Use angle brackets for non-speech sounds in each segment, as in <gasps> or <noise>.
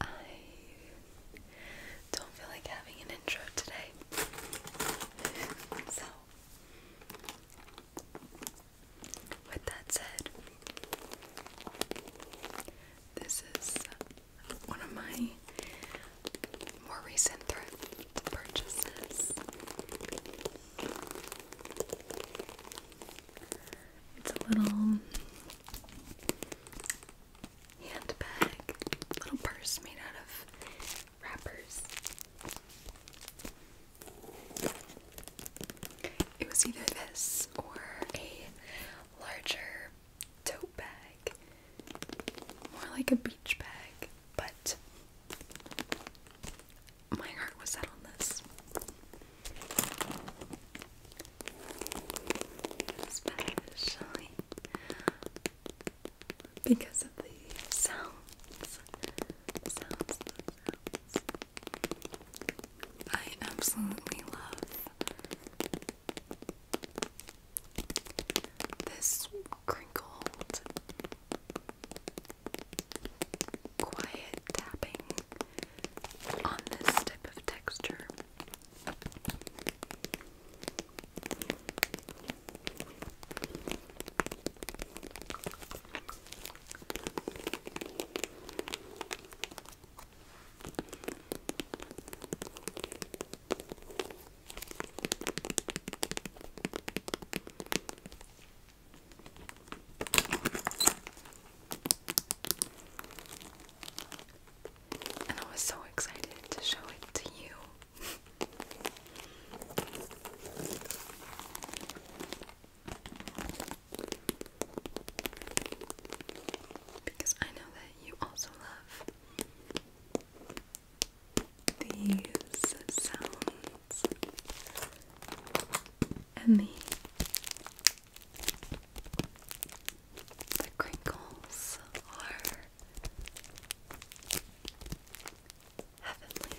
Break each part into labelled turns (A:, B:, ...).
A: I don't feel like having an intro today. so with that said, this is one of my more recent purchases. It's a little handbag, little purse made out of wrappers. It was either this or a larger tote bag, more like a beach bag, but my heart was set on this. Especially because of the sounds. sounds. I absolutely love this crinkled, quiet tapping on this type of texture. And I was so excited to show it to you. <laughs> Because I know that you also love these sounds and the, the crinkles are heavenly.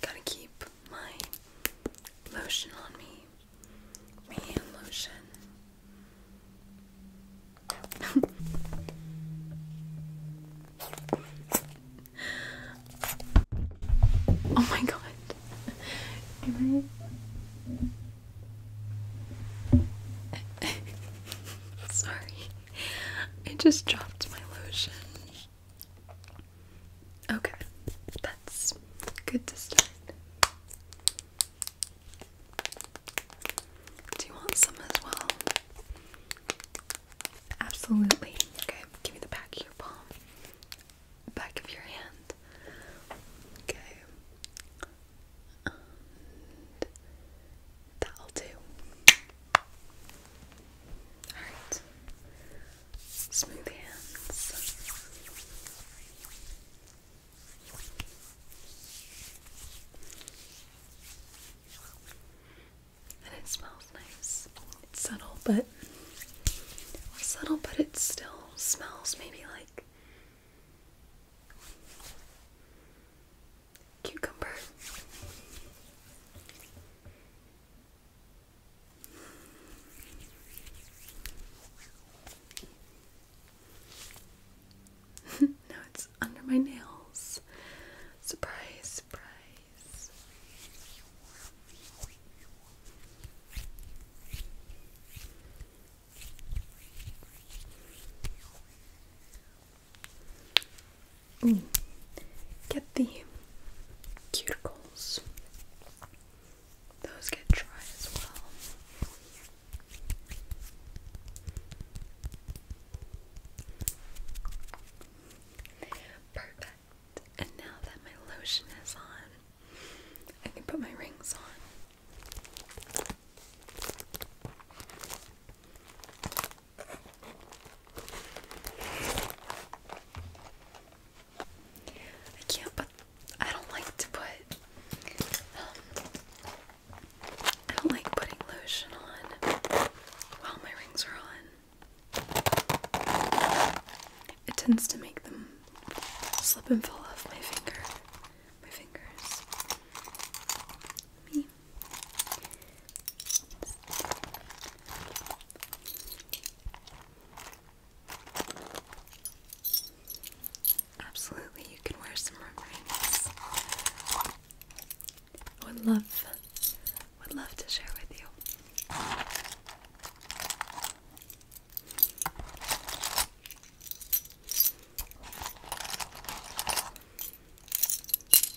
A: gotta keep my lotion on me. My lotion. <laughs> oh my god. <laughs> Sorry. I just dropped my lotion. Okay, that's good to start. Do you want some as well? Absolutely. Okay, give me the back of your palm, back of your hand. Okay. that'll do. Alright. Smooth hands. And it smells nice. It's subtle, but subtle, but it still smells maybe like cucumber. <laughs> no, it's under my nails. Surprise, surprise. Mm. get the cuticles. Those get dry as well. Perfect. And now that my lotion is on, I can put my rings on. I can't, but I don't like to put. Um, I don't like putting lotion on while my rings are on. It tends to make them slip and fall off my finger, my fingers. Me. Absolutely, you can wear some rings. Would love, would love to share with you.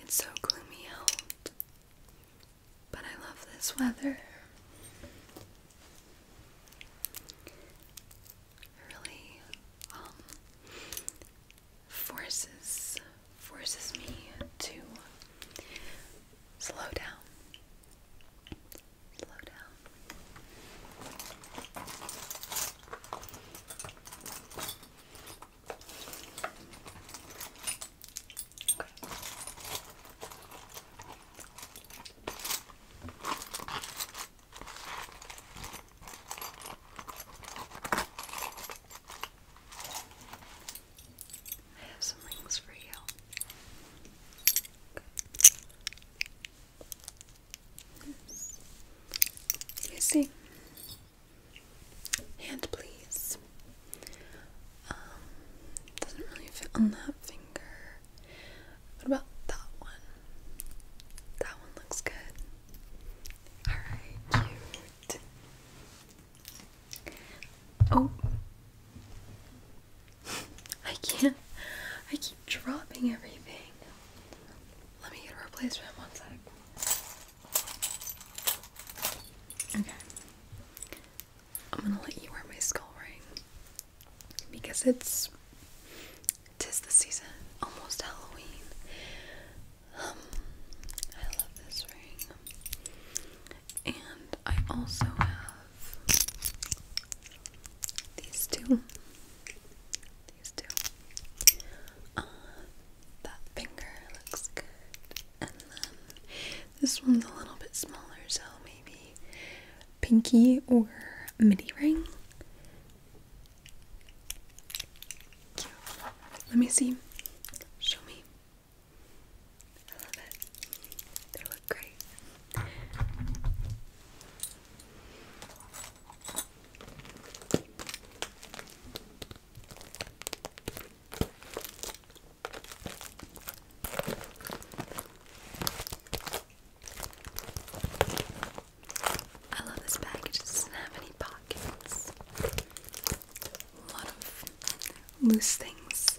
A: it's so gloomy out, but I love this weather. It really um, forces forces me to Slow down. Slow down. I have some rings for you. You see. Hand, please. Um, doesn't really fit on that finger. What about that one? That one looks good. Alright, cute. Oh, I can't. I keep dropping everything. Let me get a replacement one sec. Okay. I'm gonna let you wear my skull ring because it's tis the season, almost Halloween. Um, I love this ring. And I also have these two. These two. Uh, that finger looks good. And then this one's a little bit smaller, so maybe pinky or mini ring. Let me see. Show me. I love it. They look great. I love this bag, it just doesn't have any pockets. A lot of loose things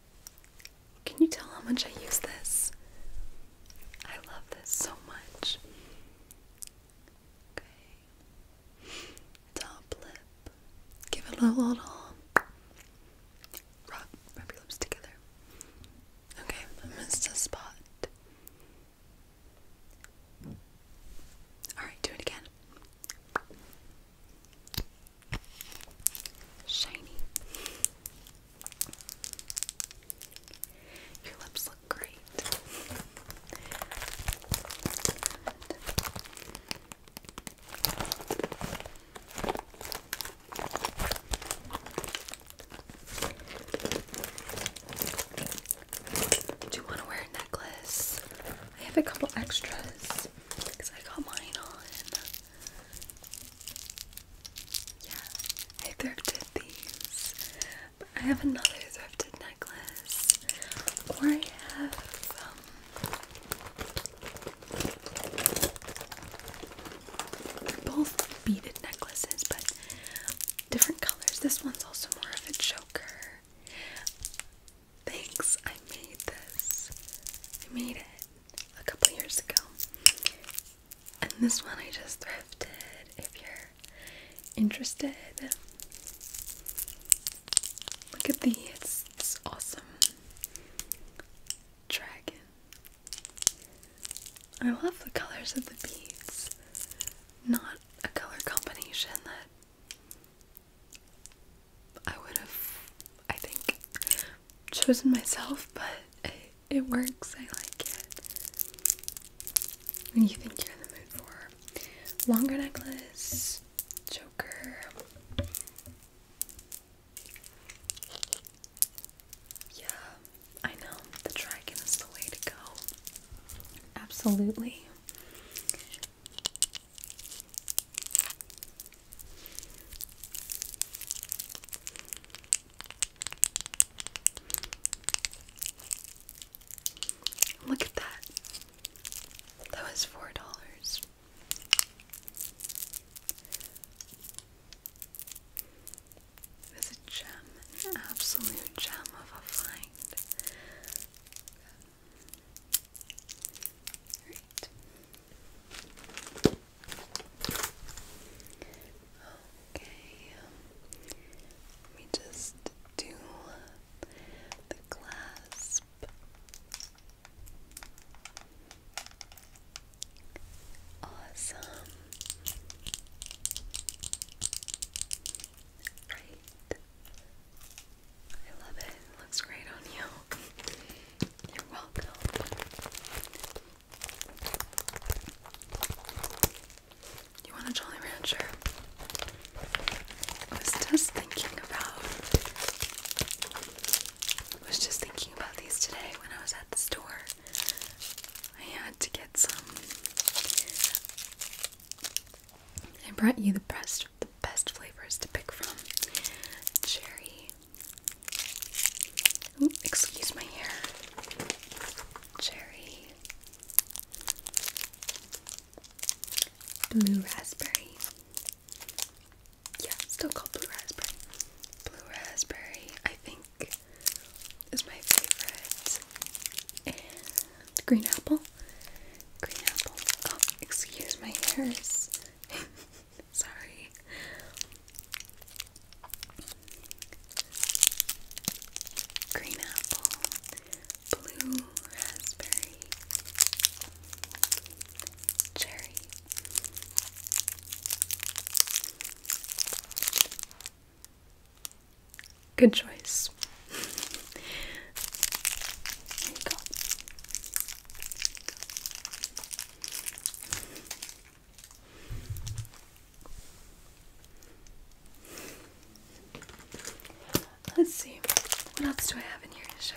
A: Can you tell how much I use this? I love this so much. Okay. Top lip. Give it a little, rub, rub your lips together. Okay, missed a spot. Alright, do it again. Shiny. Your lips look great. Do you want to wear a necklace? I have a couple extras because I got mine on. Yeah, I thrifted these. But I have another thrifted necklace. Or I have um, both beaded necklaces, but different colors. This one's also more of a choker. Thanks, I made this. I made it a couple years ago. And this one I just thrifted if you're interested. Look at these. it's awesome dragon. I love the colors of the beads. Not a color combination that I would have, I think, chosen myself, but it, it works. I like it. When you think you're in the mood for longer necklace, Joker. Yeah, I know the dragon is the way to go. Absolutely. Look at that. That was four dollars. It was a gem, an absolute gem of a find. Okay. Let me just do the clasp. Awesome. Right. I love it. It looks great on you. You're welcome. You want a Jolly Rancher? I was just thinking about I was just thinking about these today when I was at the store. I had to get some. I brought you the best the best flavors to pick from. Cherry. excuse my hair. Cherry. Blue raspberry. Yeah, still called blue raspberry. Blue raspberry, I think, is my favorite. And green apple. Green apple. Oh, excuse my hairs. <laughs> Sorry. Green apple, blue raspberry, cherry. Good choice. <laughs> There you go. Let's see, what else do I have in here to show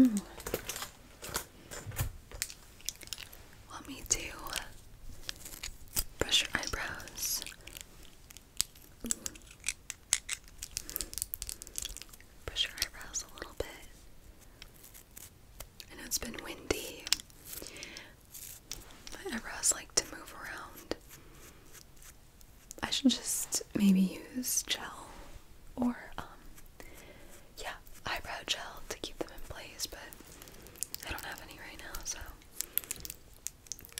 A: you? Mm. me to brush your eyebrows Push your eyebrows a little bit. I know it's been windy. My eyebrows like to move around. I should just maybe use gel or, um, yeah, eyebrow gel to keep them in place, but I don't have any right now, so.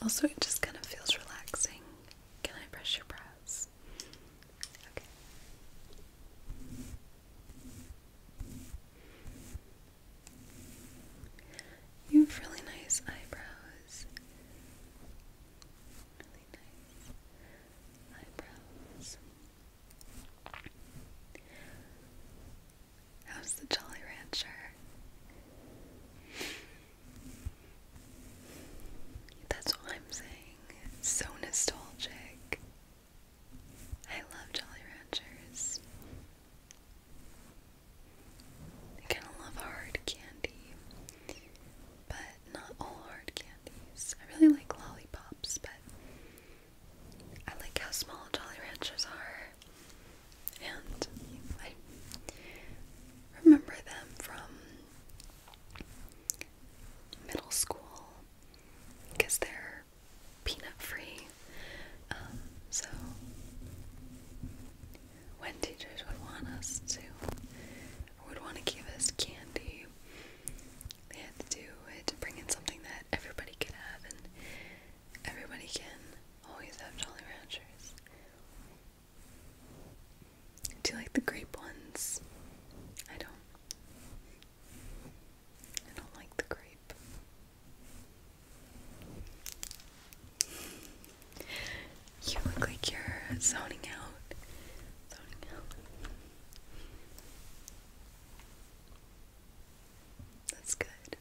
A: Also, it just kind of feels relaxing can I brush your brows? Okay. You have really nice eyebrows. Really nice eyebrows. How's the Jolly Rancher? That's all I'm saying. so nostalgic. I love Jolly Ranchers. I kind of love hard candy, but not all hard candies. I really like lollipops, but I like how small Jolly Ranchers are and I remember them from middle school because they're peanut free. Um, so when teachers would want us to, would want to give us candy, they had to do it to bring in something that everybody could have, and everybody can always have Jolly Ranchers. Do you like the grape ones? I don't. I don't like the grape. You look like you're zoning out. Zoning out. That's good.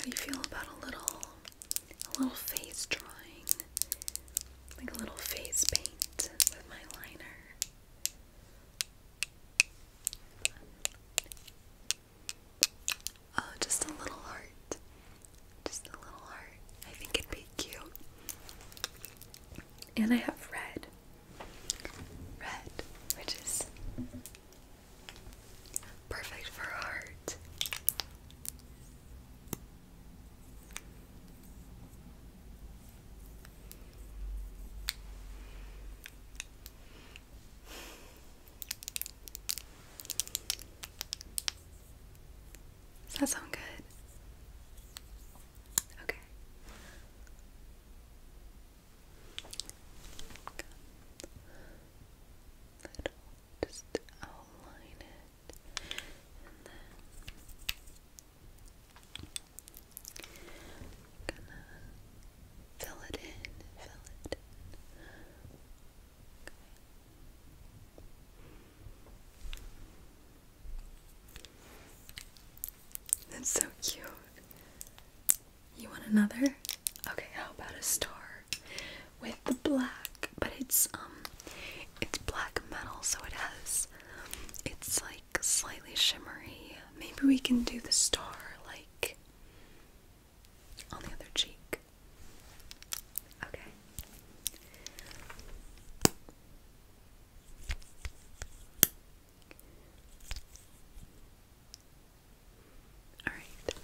A: How do you feel about a little a little face drawing, like a little face paint with my liner. Oh, just a little heart. Just a little heart. I think it'd be cute. And I have red. Red, which is Perfect for art. Does that sound good? Okay. Little just outline it and then gonna fill it in, fill it That's so cute. You want another? Okay, how about a star? with the black, but it's um it's black metal, so it has it's like slightly shimmery. Maybe we can do the star like on the other cheek. Okay. Alright.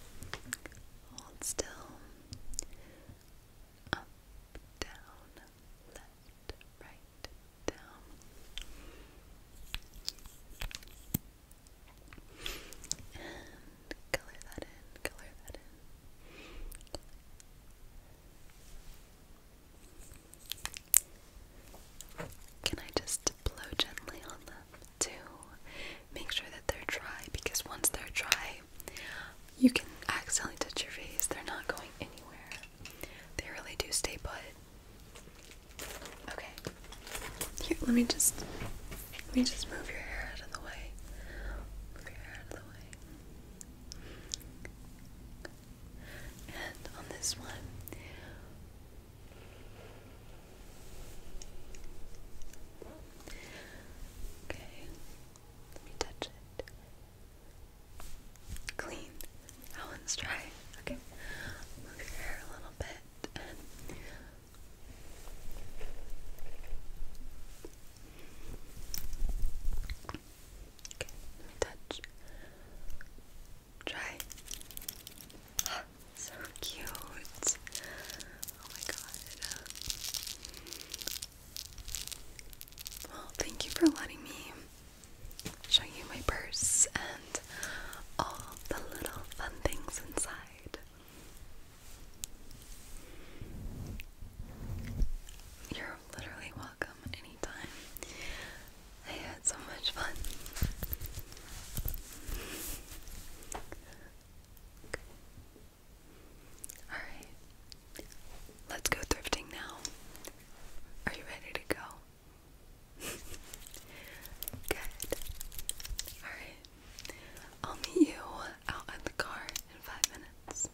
A: Hold still. Up, down, left, right, down. And color that in, color that in. Can I just blow gently on them? to make sure that they're dry because once they're dry, you can accidentally touch your face. They're not going anywhere. They really do stay put. Okay. Here, let me just let me just move your hair out of the way. Move your hair out of the way. And on this one, Okay, touch it. Clean. That one's dry. Okay, move your hair a little bit Okay, touch. Try. <gasps> so cute. Oh my god. Well, thank you for letting me show you my purse and all the little fun things inside. You're literally welcome anytime. I had so much fun. Alright. Let's go thrifting now. Are you ready to go? <laughs> Good. Alright. I'll meet you out at the car in five minutes.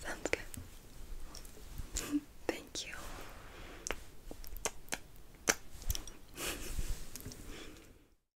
A: Sounds good. <laughs> Thank you.